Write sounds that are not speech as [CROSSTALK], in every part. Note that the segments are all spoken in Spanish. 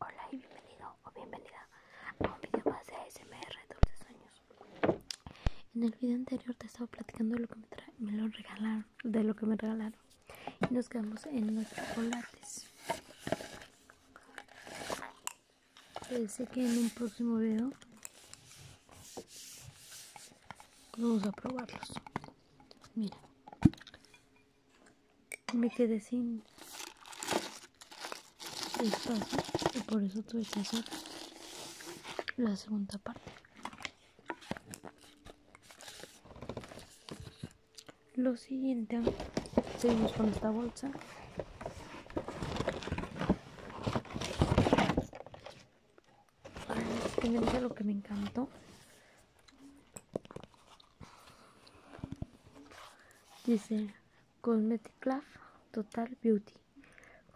Hola y bienvenido o bienvenida a un video más de ASMR Dulces Sueños. En el video anterior te estaba platicando de lo que me, lo regalaron, de lo que me regalaron. Y nos quedamos en los chocolates. Pensé que en un próximo video vamos a probarlos. Mira. Me quedé sin espacio y por eso tuve que hacer la segunda parte. Lo siguiente, seguimos con esta bolsa. Honestamente lo que me encantó. Dice Cosmetic Love Total Beauty.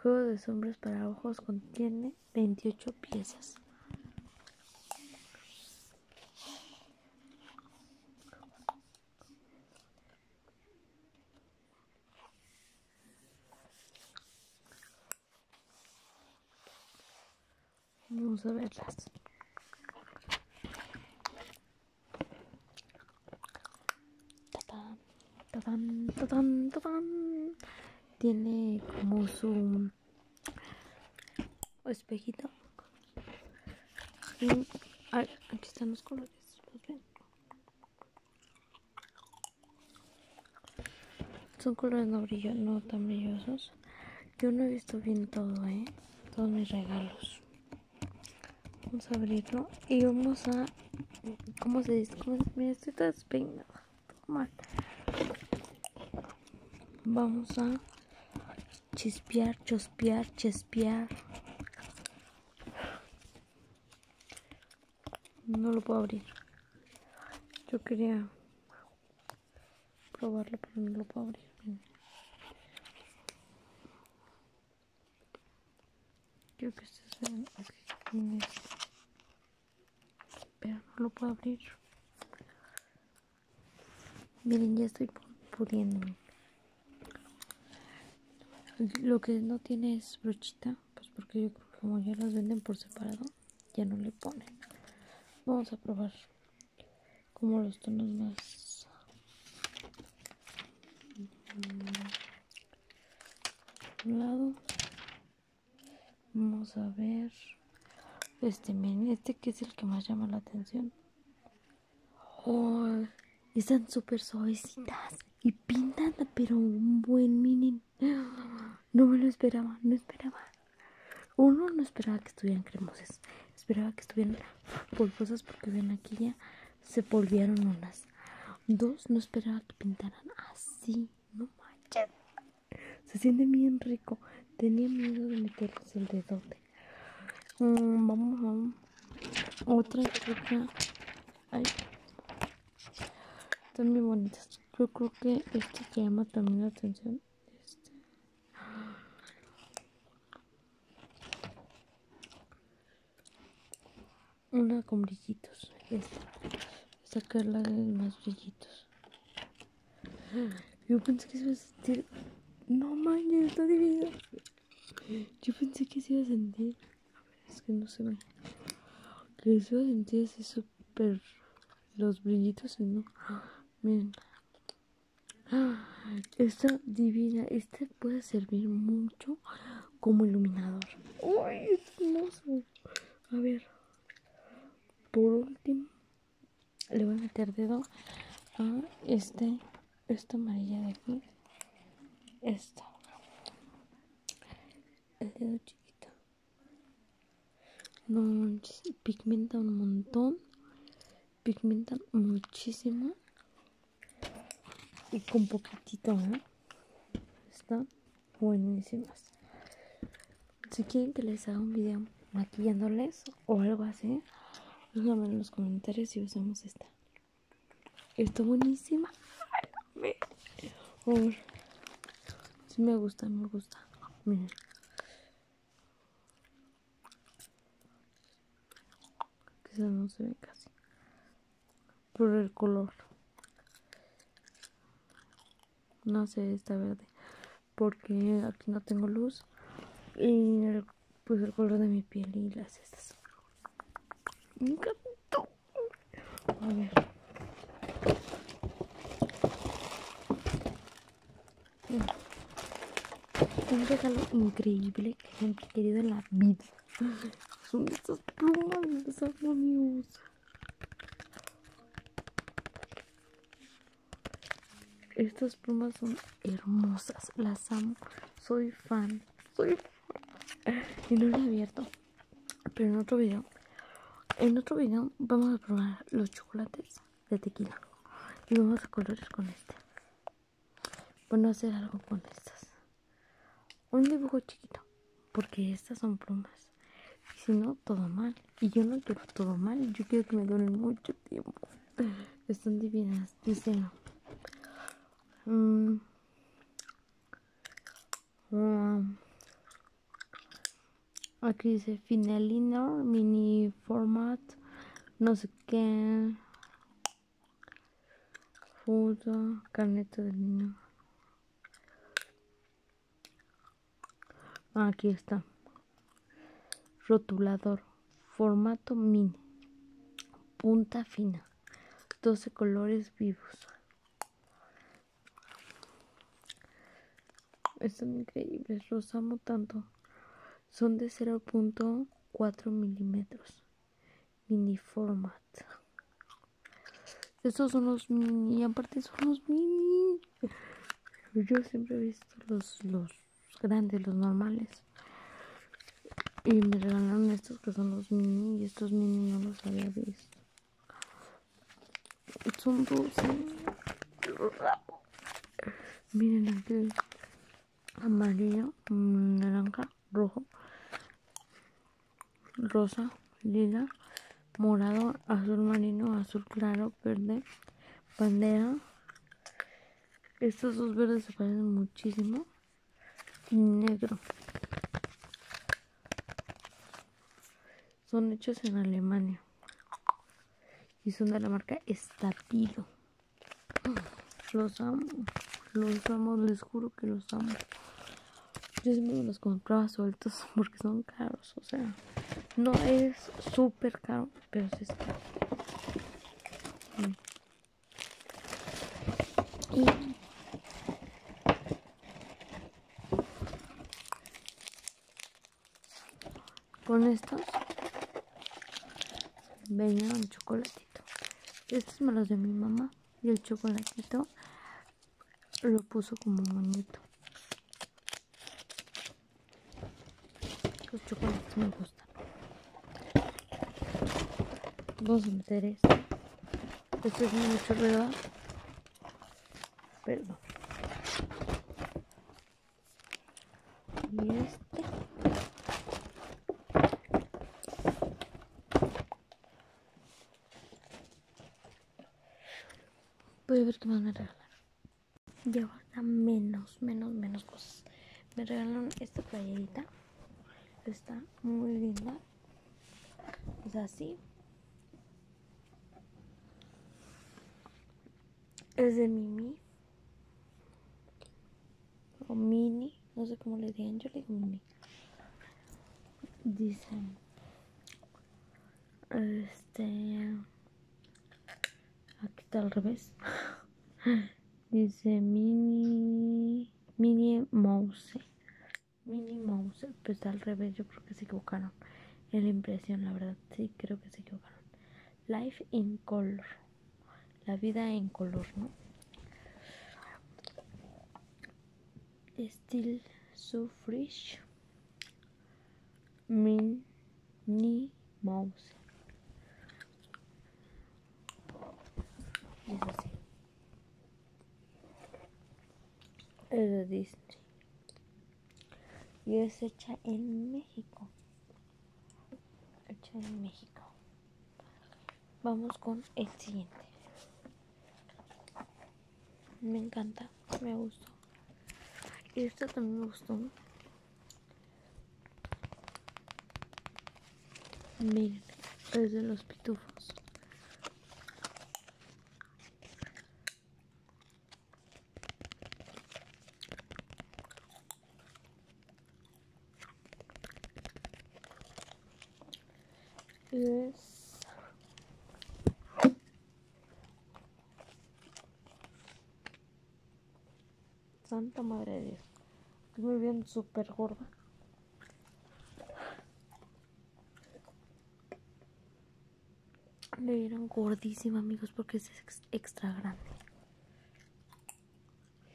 Juego de sombras para ojos contiene 28 piezas. Vamos a verlas. Tiene como su espejito. aquí están los colores. Pues Son colores no brillan, no tan brillosos. Yo no he visto bien todo, ¿eh? Todos mis regalos. Vamos a abrirlo y vamos a... ¿Cómo se dice? Mira, estoy toda despeinada. mal. Vamos a chispear, chospear, chispear. No lo puedo abrir. Yo quería probarlo, pero no lo puedo abrir. Creo que este es este. no lo puedo abrir. Miren, ya estoy pudiendo Lo que no tiene es brochita, pues porque yo creo que como ya las venden por separado, ya no le ponen. Vamos a probar como los tonos más un lado vamos a ver este mini, este que es el que más llama la atención están súper suavecitas y pintan pero un buen mini no me lo esperaba, no esperaba. Uno no esperaba que estuvieran cremosas, esperaba que estuvieran polvosas porque ven aquí ya se volvieron unas. Dos, no esperaba que pintaran así, no manches. Se siente bien rico. Tenía miedo de meterles el dedo mm, vamos, a Otra, otra. Ay. Están muy bonitas. Yo creo que este llama también la atención una con brillitos. Esta. de más brillitos. Yo pensé que se iba a sentir. No manches, estoy dividida. Yo pensé que se iba a sentir. A ver, es que no se ve. Que se iba a sentir así súper. Los brillitos, ¿no? Miren. [GASPS] Esta divina, este puede servir mucho como iluminador. uy es hermoso! A ver, por último, le voy a meter dedo a este, esta amarilla de aquí. Esta. El dedo chiquito pigmenta un montón. Pigmenta muchísimo. Y con poquitito, ¿eh? Están buenísimas. Si quieren que les haga un video maquillándoles o algo así, Déjame en los comentarios y usamos esta. Está buenísima. Si me gusta, me gusta. Quizás no se ve casi. Por el color. No sé, está verde. Porque aquí no tengo luz. Y pues el color de mi piel y las estas. Me encantó. A ver. Un regalo increíble que he querido en la vida. Son estas plumas son Estas plumas son hermosas, las amo. Soy fan, soy fan. Y no lo he abierto. Pero en otro video, en otro video vamos a probar los chocolates de tequila. Y vamos a colores con este. Bueno, hacer algo con estas. Un dibujo chiquito. Porque estas son plumas. Y si no, todo mal. Y yo no quiero todo mal. Yo quiero que me duren mucho tiempo. Están divinas. Dice. Mm. Mm. Aquí dice fineliner mini format, no sé qué. Foto, carneta de niño. Ah, aquí está. Rotulador, formato mini, punta fina, 12 colores vivos. Están increíbles, los amo tanto. Son de 0.4 milímetros. Mini format. Estos son los mini, y aparte son los mini. Yo siempre he visto los, los grandes, los normales. Y me regalaron estos que son los mini y estos mini no los había visto. Son dulce ¿eh? Miren aquí. Amarillo, mm, naranja, rojo, rosa, lila, morado, azul marino, azul claro, verde, bandera. Estos dos verdes se parecen muchísimo. Y negro. Son hechos en Alemania. Y son de la marca Statilo. Los amo. Los amo, les juro que los amo. Yo siempre los compraba sueltos [LAUGHS] porque son caros. O sea, no es súper caro, pero es caro. Y con estos venía un chocolatito. Estos me los de mi mamá y el chocolatito lo puso como bonito. Los chocolates me gustan. Vamos a meter esto. Esto es muy chulo Perdón. Y este. Voy a ver qué más me regalaron Ya a menos, menos, menos cosas. Me regalaron esta playerita. Está muy linda. Es así es de Mimi o Mini, no sé cómo le digan, yo le digo Mimi. Dice, este, aquí está al revés. [LAUGHS] Dice Mini, Mini Mouse, Mini Mouse, pues está al revés, yo creo que se equivocaron en la impresión, la verdad, sí, creo que se equivocaron. Life in Color, la vida en color, ¿no? Still so fresh, Minnie Mouse. Es Disney y es hecha en México. Hecha en México. Vamos con el siguiente. Me encanta, me gustó. Y esta también me gustó. Miren, es de los pitufos. Santa Madre de Dios. muy bien, súper gorda. Me vieron gordísima, amigos, porque es extra grande.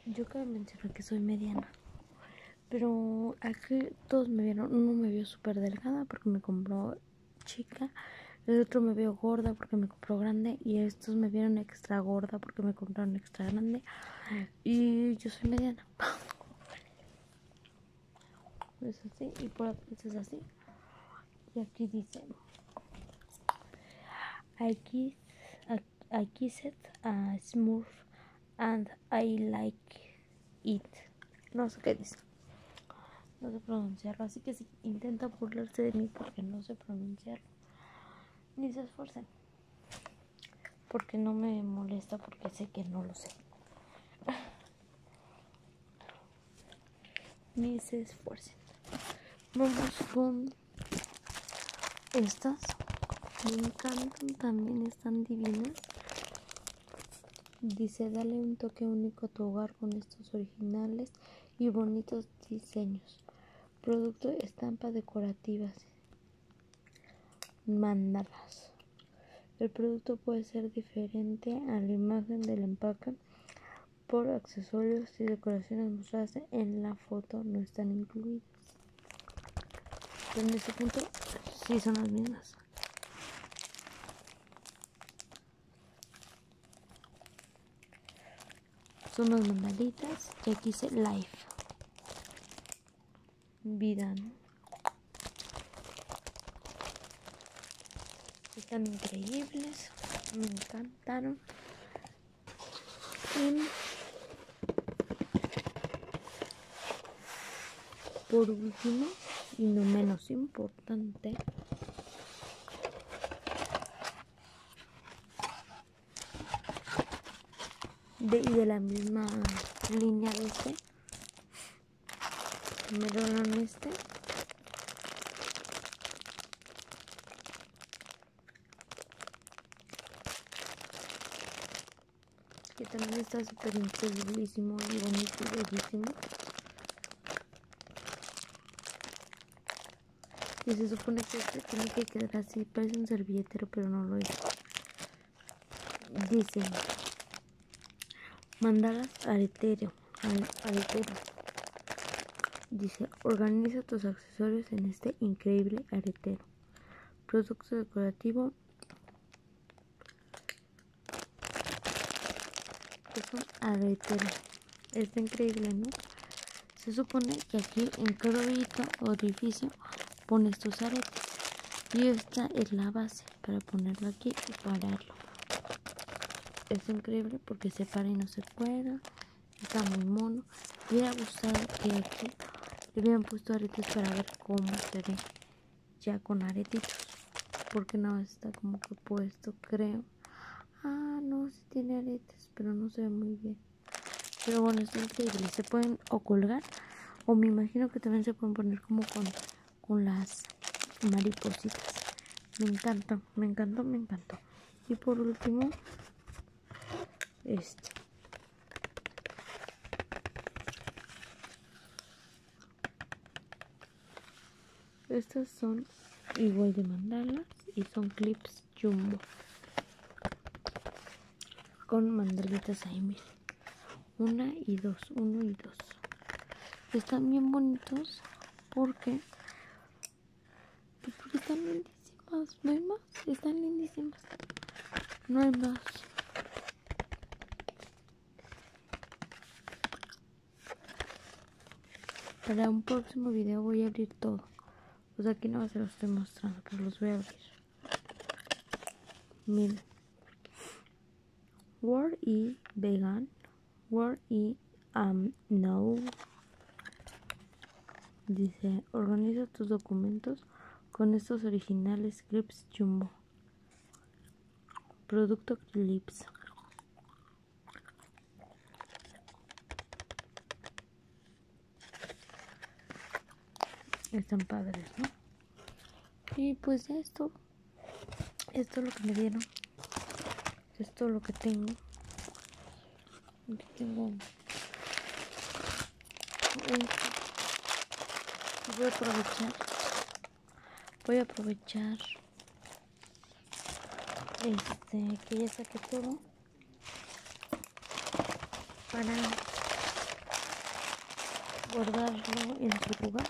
Yo cabe mencionar que soy mediana. Pero aquí todos me vieron. Uno me vio súper delgada porque me compró chica. El otro me vio gorda porque me compró grande. Y estos me vieron extra gorda porque me compraron extra grande. Y yo soy mediana. [LAUGHS] Es así. Y por aquí es así. Y aquí dice, aquí aquí I, a uh, smooth and I like it. No sé qué dice. No sé pronunciarlo, así que si intenta burlarse de mí porque no sé pronunciarlo, ni se esforcen, Porque no me molesta, porque sé que no lo sé ni se esfuercen. Vamos con estas. Me encantan, también están divinas. Dice, dale un toque único a tu hogar con estos originales y bonitos diseños. Producto estampa decorativas. Mandalas. El producto puede ser diferente a la imagen del empaque por accesorios y decoraciones mostradas en la foto no están incluidas. en este punto si son las mismas. Son las mandalitas y aquí dice life. Vida, Están increíbles, me por último, y no menos importante, de, de la misma línea de este, primero este, que también está súper increíblísimo y bonito y bellísimo y se supone que este tiene que quedar así parece un servilletero pero no lo es dice al aretero dice Dice, organiza tus accesorios en este increíble aretero. Producto decorativo. Es Está increíble, ¿no? Se supone que aquí en cada orificio pones tus aretes. Y esta es la base para ponerlo aquí y pararlo. Es increíble porque se para y no se cuela Está muy mono. Me hubiera que le hubieran puesto aretes para ver cómo se ve ya con aretitos. Porque no está como que puesto, creo. Ah, no, si tiene aretes, pero no se ve muy bien. Pero bueno, es increíble. Se pueden o colgar o me imagino que también se pueden poner como con, con las maripositas. Me encantan me encantó, me encantó. Y por último, este. Estas son igual de mandalas y son clips jumbo. Con mandalitas ahí, miren. Una y dos, uno y dos. Están bien bonitos porque pues porque están lindísimas. No hay más. Están lindísimas. No hay más. Para un próximo video voy a abrir todo. Pues aquí no se los estoy mostrando, pero los voy a abrir. Miren. War y Vegan Word y am No. Dice, organiza tus documentos con estos originales clips jumbo. Producto clips. Están padres, ¿no? Y pues esto, esto es lo que me dieron esto es todo lo que tengo que tengo voy a aprovechar voy a aprovechar este que ya saqué todo para guardarlo en su lugar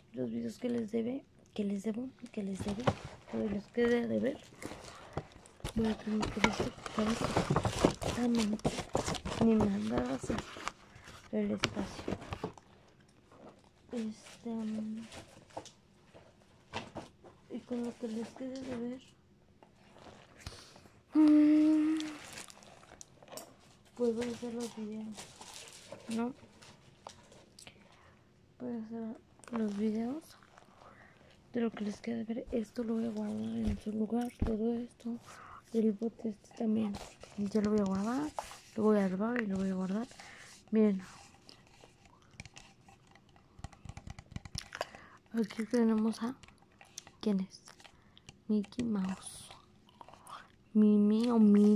los videos que les debe, que les debo, que les debe, que les quede de ver. Voy a tener que mí, este ah, ni me a hacer el espacio. Este mm, y con lo que les quede de ver. Mm, puedo hacer los videos. ¿No? voy a hacer los videos de lo que les queda ver esto lo voy a guardar en su lugar todo esto el bote este también ya lo voy a guardar lo voy a robar y lo voy a guardar miren aquí tenemos a quién es Mickey Mouse Mimi o Mini